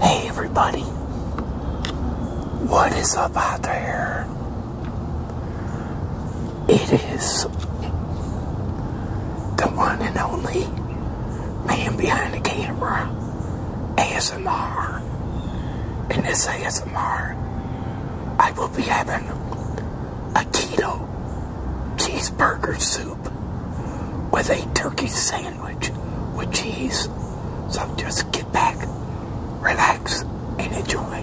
Hey everybody, what is up out there? It is the one and only man behind the camera, ASMR. In this ASMR, I will be having a keto cheeseburger soup with a turkey sandwich with cheese. So just get back, relax, and enjoy.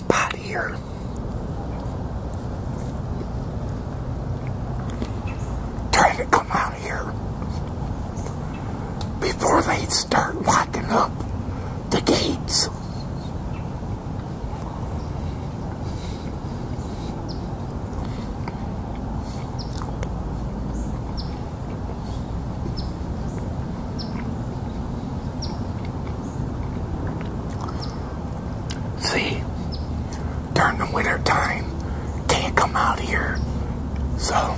spot to come out here before they start locking up the gates. See, during the winter time, can't come out here. So,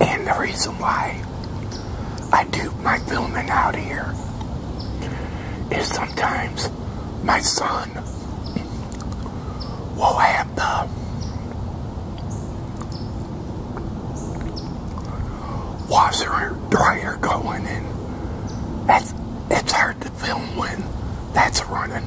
and the reason why I do my filming out here is sometimes my son we'll have the washer dryer going and that's it's hard to film when that's running.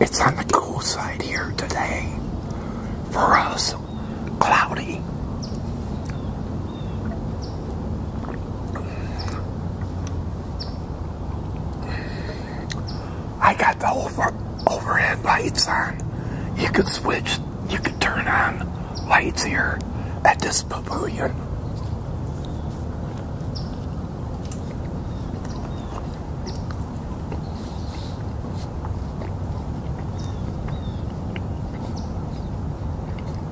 It's on the cool side here today for us, cloudy. I got the overhead lights on. You could switch, you could turn on lights here at this pavilion.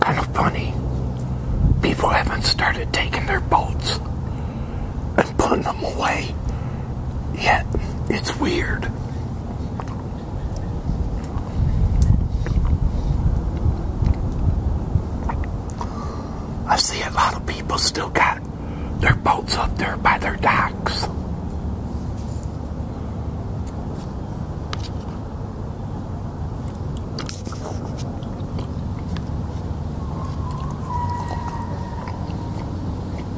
Kind of funny. People haven't started taking their boats and putting them away yeah, it's weird. I see a lot of people still got their boats up there by their docks.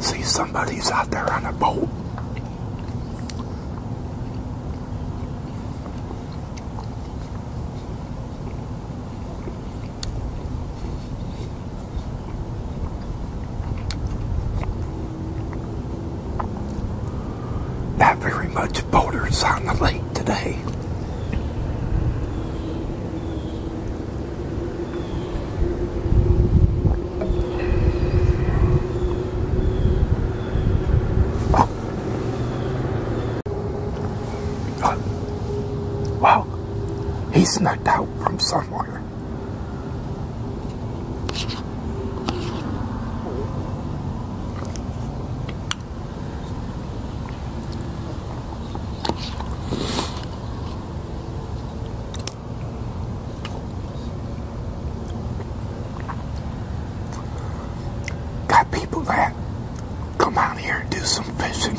See, somebody's out there on a boat. Not very much boaters on the lake today. Wow. He snuck out from somewhere. Got people that come out here and do some fishing.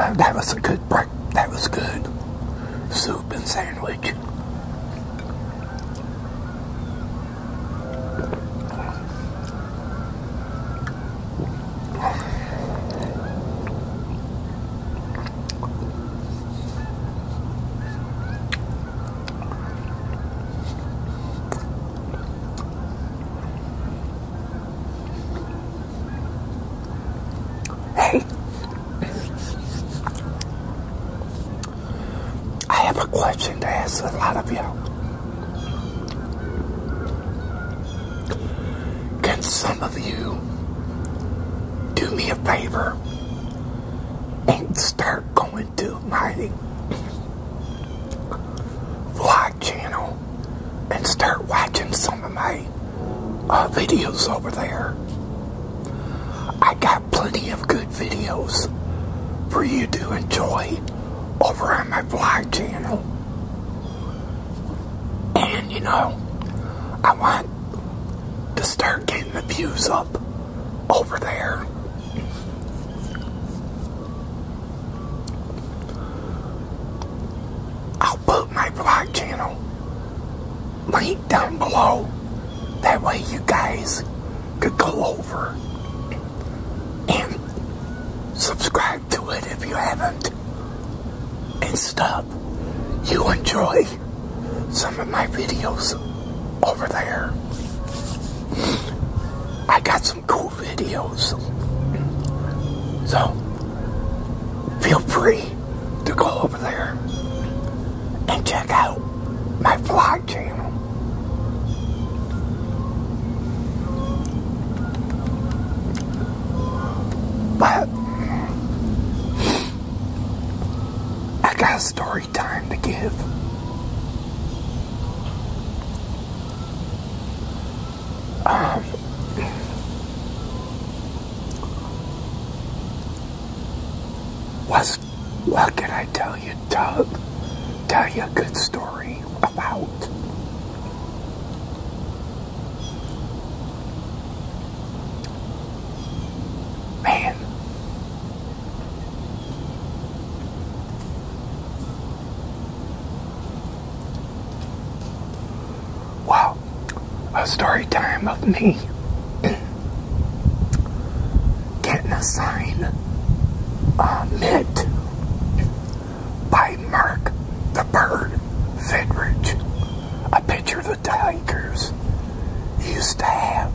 Uh, that was a good break. That was good. Soup and sandwich. Hey, I have a question to ask a lot of you. Can some of you do me a favor and start going to my vlog channel and start watching some of my uh, videos over there? I got plenty of good videos for you to enjoy over on my vlog channel. And you know, I want to start getting the views up over there. I'll put my vlog channel link down below. That way you guys could go over and subscribe to it if you haven't and stop. You enjoy some of my videos over there. I got some cool videos. So, feel free to go over there and check out my vlog channel. But I got story time to give. Um, what's, what can I tell you, Doug? Tell you a good story about. Man. Wow, a story time of me getting a sign, uh, by Mark the Bird Fidrich. A picture of the Tigers used to have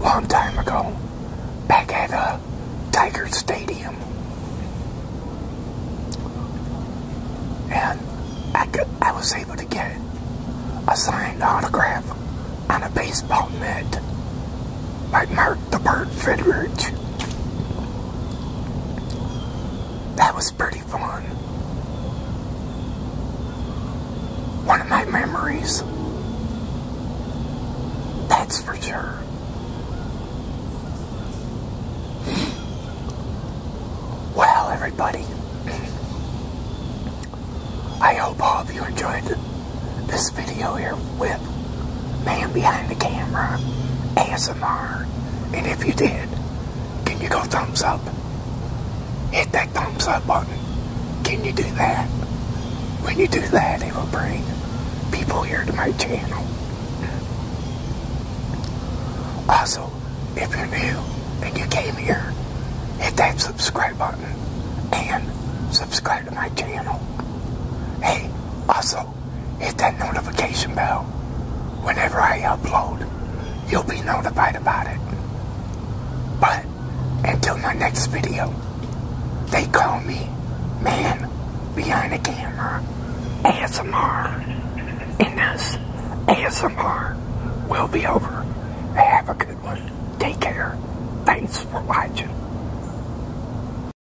long time ago back at the uh, Tiger Stadium. And I, could, I was able to get a signed autograph on a baseball mitt by Mark the Bird Fidrich. That was pretty fun. One of my memories. That's for sure. Well, everybody, I hope all of you enjoyed this video here with Man Behind the Camera ASMR. And if you did, can you go thumbs up? Hit that thumbs up button. Can you do that? When you do that, it will bring people here to my channel. Also, if you're new and you came here, hit that subscribe button and subscribe to my channel. Hey, also, hit that notification bell. Whenever I upload, you'll be notified about it. But until my next video, they call me Man Behind the Camera ASMR. And this ASMR will be over. Have a good one. Take care. Thanks for watching.